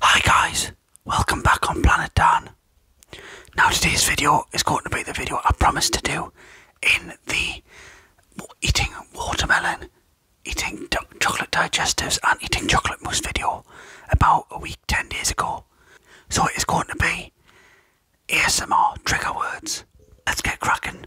Hi guys, welcome back on Planet Dan. Now today's video is going to be the video I promised to do in the eating watermelon, eating chocolate digestives and eating chocolate mousse video about a week, 10 days ago. So it is going to be ASMR trigger words. Let's get cracking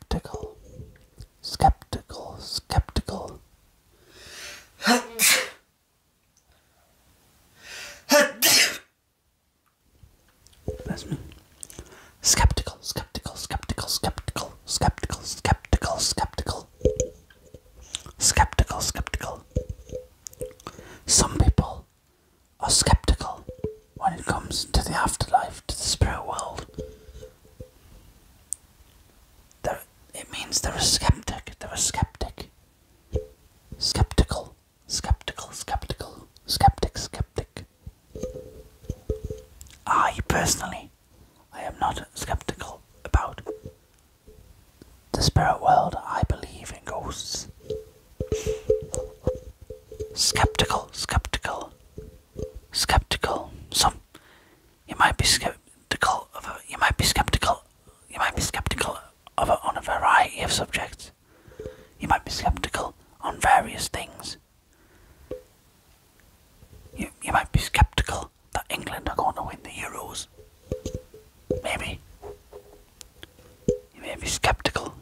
skeptical, skeptical, skeptical. Bless me. Skeptical, skeptical, skeptical, skeptical, skeptical, skeptical, skeptical, skeptical, skeptical. Some people or skeptical when it comes to the afterlife, to the spirit world. They're, it means they're a skeptic, they're a skeptic. Skeptical, skeptical, skeptical, skeptic, skeptic. I personally, I am not skeptical about the spirit world. I believe in ghosts. Skeptical, skeptical, skeptical. Some you might be skeptical of a, you might be skeptical you might be skeptical of on a variety of subjects. You might be skeptical on various things. You you might be skeptical that England are going to win the Euros. Maybe. You may be skeptical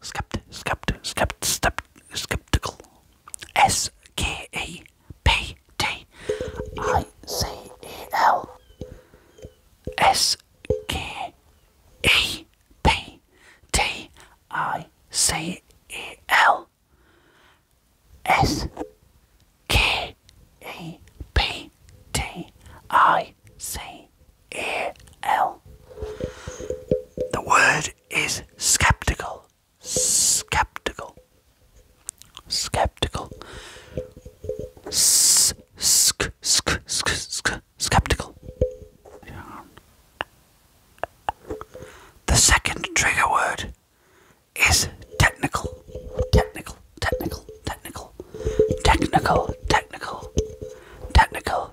skeptic, skeptic, skeptic, skeptical. S K E P T I C E L. S K E P T I C E L. S K E P T I C E L. The word is skeptical skeptical skeptical skeptical the second trigger word is technical technical technical technical technical technical technical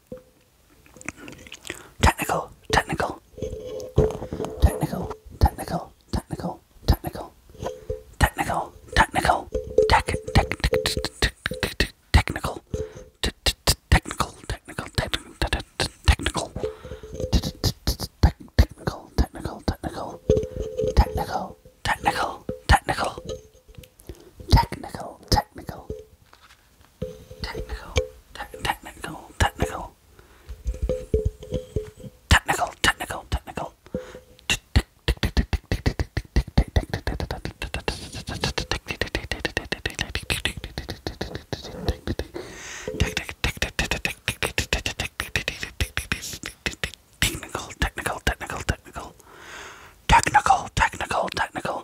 Technical, technical, technical, technical, technical, technical, technical, technical, tech, tech, technical, technical, technical, technical, technical, technical, technical, technical, technical, technical, technical, technical, Technical, te technical, technical, technical, technical, technical. Technical, technical, technical, technical, technical, technical, technical,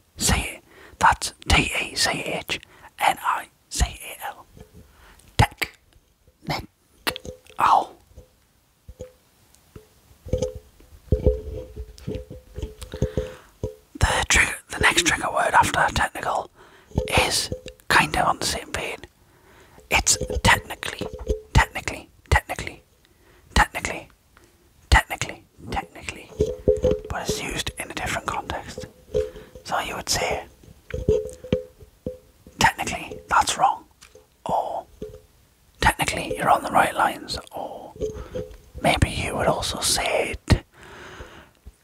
T C A. That's T E C H N I C A L. Tech. The trigger, the next trigger word after technical is kind of on the same vein. It's technically, technically, technically, technically, Technically, technically, but it's used in a different context. So you would say, technically, that's wrong, or technically, you're on the right lines, or maybe you would also say it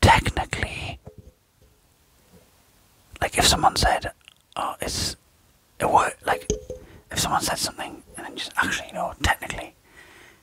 technically. Like if someone said, "Oh, it's it worked," like if someone said something and then just actually, you know, technically,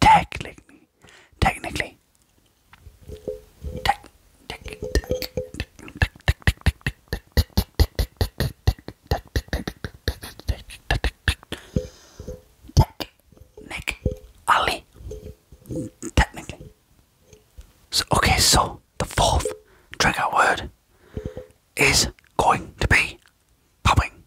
Technically, technically, tech, tech, tech, tech, Ali. Technically. So okay, so the fourth trigger word is going to be popping.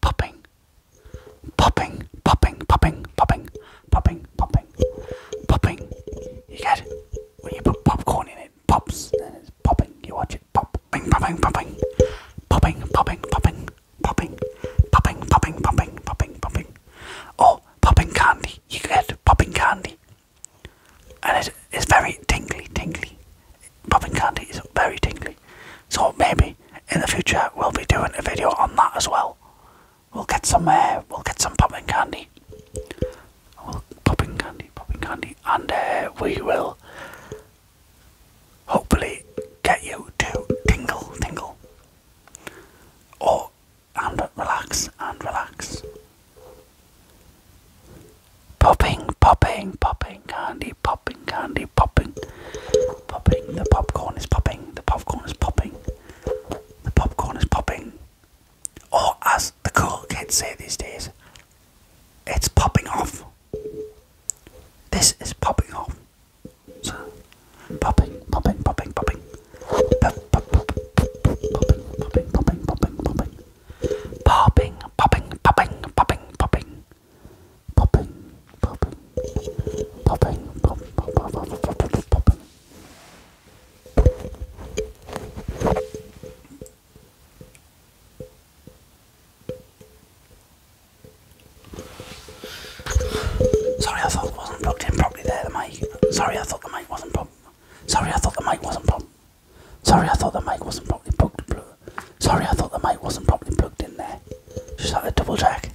popping, popping, popping, popping, popping, popping, popping, popping. You get it? When you put popcorn in it, pops, and it's popping. You watch it pop, popping, popping, popping, popping, popping, popping, popping, popping, popping, popping, popping, popping. Or oh, popping candy. You get popping candy. And it is very tingly, tingly. Popping candy is very tingly. So maybe in the future we'll be doing a video on that as well. We'll get some uh, we'll get some popping candy. We'll popping candy, popping candy, and uh, we will hopefully get you to tingle, tingle, or and relax and relax. Popping, popping, popping candy, pop popping, candy popping, popping. The popcorn is popping. The popcorn is popping. The popcorn is popping. Or as the cool kids say these days, it's popping off. This is popping off. So popping, popping, popping, popping. Pop, pop, pop, popping, popping, popping, popping, popping. Popping, popping, popping, popping, popping popping, popping, popping, popping, popping, popping, popping. Sorry, I thought it wasn't plugged in properly there. The mic. Sorry, I thought the mic wasn't pop. Sorry, I thought the mic wasn't pop. Sorry, I thought the mic wasn't properly plugged. Sorry, I thought the mic wasn't properly plugged in there. Just had a double check.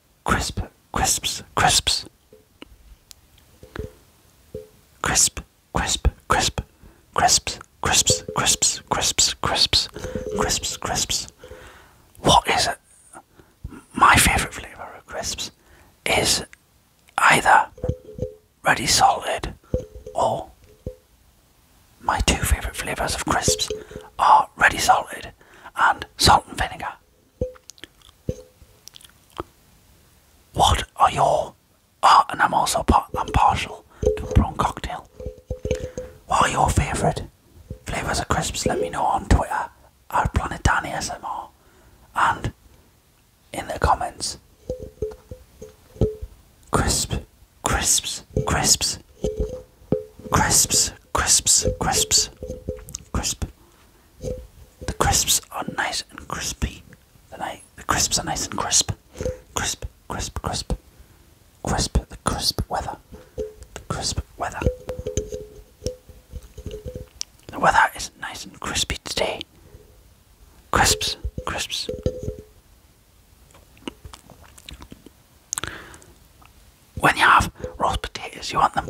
crisp, crisps, crisps, crisp, crisp, crisp, crisps, crisps, crisps, crisps, crisps, crisps, crisps. What is it? My favourite flavour of crisps is either ready salted or my two favourite flavours of crisps are ready salted and salt and vinegar. What are your? Ah, and I'm also par I'm partial to a prawn cocktail. What are your favourite flavours of crisps? Let me know on Twitter at PlanetDanASMR and in the comments. Crisps, crisps, crisps, crisps, crisps, crisps, crisp. The crisps are nice and crispy. The, ni the crisps are nice and crisp. Crisp, crisp, crisp. Crisp, the crisp weather. The crisp weather. The weather is nice and crispy today. Crisps, crisps. When you have roast potatoes, you want them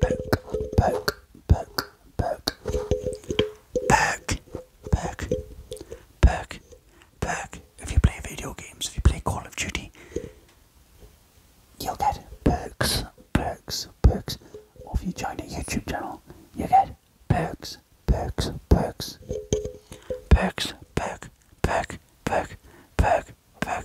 poke, poke, poke, poke, poke, poke, poke, poke. If you play video games, if you play Call of Duty, you'll get perks, perks, perks. Or if you join a YouTube channel, you get perks, perks, perks, perks, perk, perk, perk, perk, perk.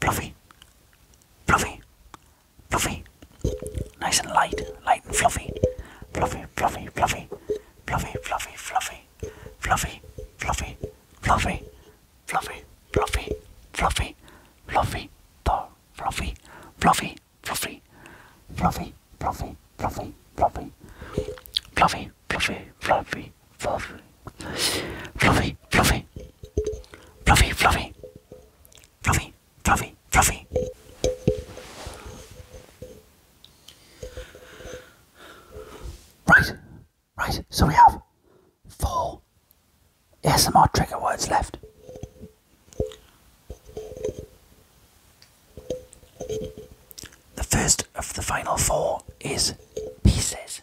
Fluffy. Fluffy. Fluffy. Nice and light. Light and fluffy. Fluffy, fluffy, fluffy. Fluffy, fluffy, fluffy. Fluffy, fluffy, fluffy. Fluffy, fluffy, fluffy. Fluffy, dog. Fluffy, fluffy, fluffy. Fluffy, fluffy, fluffy, fluffy. Fluffy, fluffy, fluffy, fluffy, fluffy, fluffy, fluffy, fluffy, fluffy, fluffy, fluffy, fluffy. Right, right. So we have four ASMR trigger words left. The first of the final four is pieces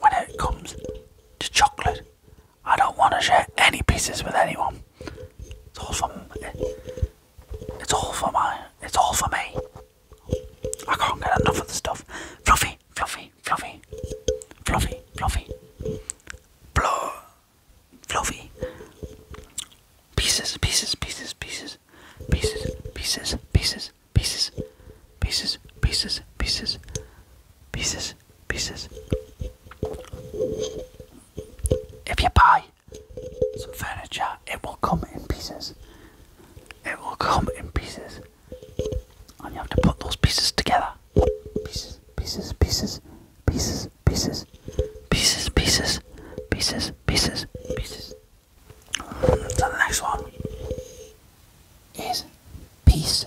when it comes to chocolate, I don't want to share any pieces with anyone. It's all for it's all for my it's all for me. I can't get enough of the stuff. Fluffy, fluffy, fluffy, fluffy, fluffy, blow, fluffy. Pieces, pieces, pieces, pieces, pieces, pieces, pieces, pieces, pieces, pieces, pieces, pieces, pieces. If you buy some furniture, it will come in pieces. It will come in pieces. And you have to put those pieces together. Pieces, pieces, pieces, pieces, pieces, pieces, pieces, pieces, pieces, pieces. So the next one is peace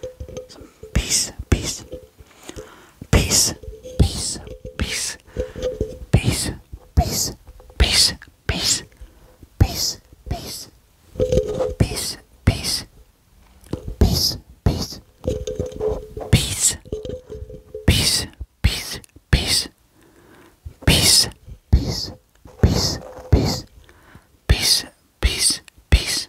peace. Some peace, peace. Peace, peace, peace. Peace, peace, peace, peace. Peace, peace. Peace, peace. Peace, peace. Peace. Peace, peace, peace. Peace, peace, peace, peace. Peace, peace, peace.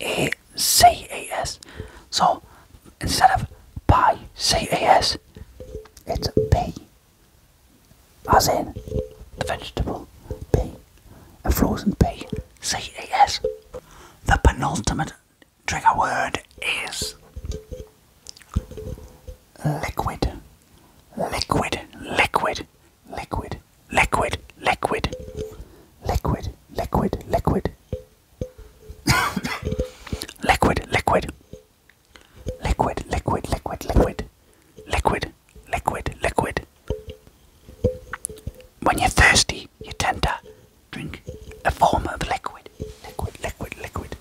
a C A S. So instead of pi it's P. As in the vegetable P. A frozen P C A S. The penultimate trigger word is liquid. Liquid, liquid, liquid, liquid, liquid, liquid, liquid, liquid, liquid, liquid. Liquid, liquid, liquid, liquid. Liquid, liquid, liquid. When you're thirsty, you tend to drink a form of liquid. Liquid, liquid, liquid.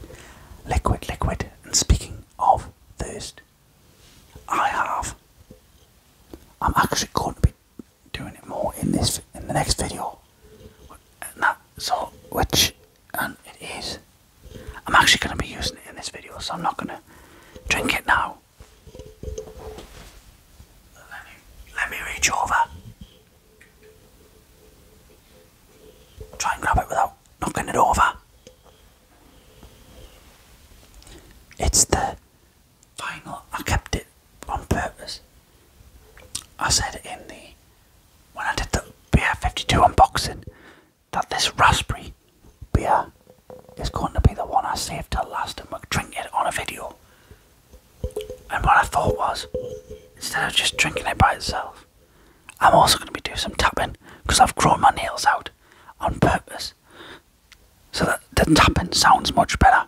Liquid, liquid. And speaking of thirst, I have. I'm actually going to be doing it more in this in the next video so which and it is I'm actually going to be using it in this video so I'm not going to drink it now let me, reach over try and grab it without knocking it over it's the final. I kept it on purpose. I said in the when I did the BR52 unboxing that this raspberry beer is going to be the one I save to last and will drink it on a video. And what I thought was, instead of just drinking it by itself, I'm also going to be doing some tapping because I've grown my nails out on purpose so that the tapping sounds much better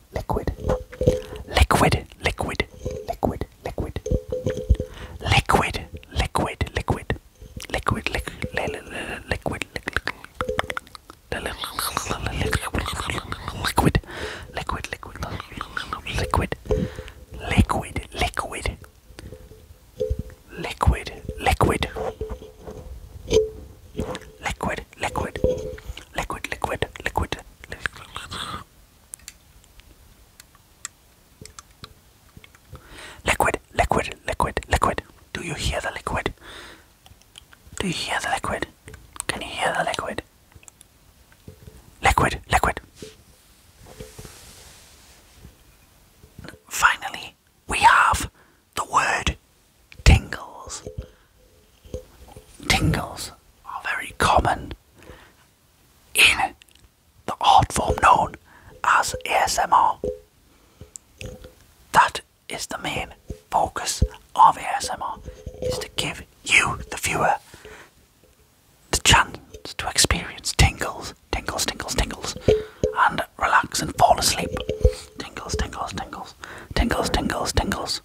liquid, liquid, liquid, liquid, liquid, liquid, liquid, liquid, liquid, liquid, liquid, liquid, liquid, liquid, liquid, liquid. Liquid, liquid, liquid, liquid, liquid, liquid, liquid, Liquid, liquid, liquid, liquid. Do you hear the liquid? Do you hear the liquid? Can you hear the liquid? Liquid, liquid. Finally, we have the word tingles. Tingles are very common in the art form known as ASMR. That is the main focus of ASMR is to give you, the viewer, the chance to experience tingles, tingles, tingles, tingles, and relax and fall asleep. Tingles, tingles, tingles, tingles, tingles, tingles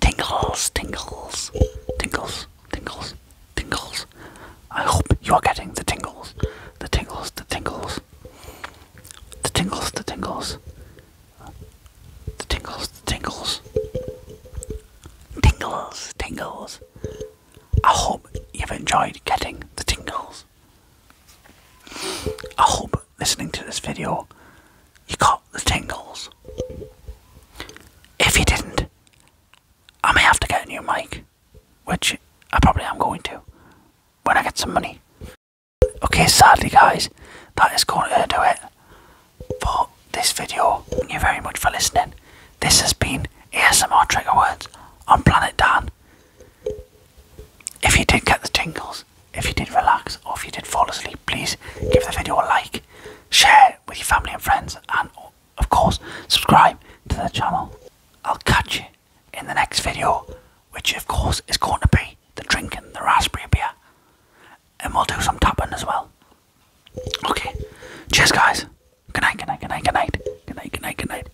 Tingles, tingles, tingles, tingles, tingles. I hope you're getting the tingles, the tingles, the tingles, the tingles, the tingles, the tingles, tingles, tingles, tingles. I hope you've enjoyed getting the tingles. I hope listening to this video, you got the tingles. If you didn't, I may have to get a new mic, which I probably am going to when I get some money. Okay, sadly, guys, that is going to do it for this video. Thank you very much for listening. This has been ASMR Trigger Words on Planet Dan. If you did get the tingles, if you did relax, or if you did fall asleep, please give the video a like like, share with your family and friends, and of course, subscribe to the channel. I'll catch you in the next video, which of course is going to be the drinking the raspberry beer, and we'll do some tapping as well. Okay, cheers, guys. Good night, good night, good night, good night, good night, good night, good night,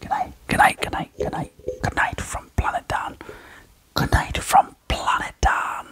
good night, good night, good night, good night, good night from Planet Dan. Good night from Planet Dan.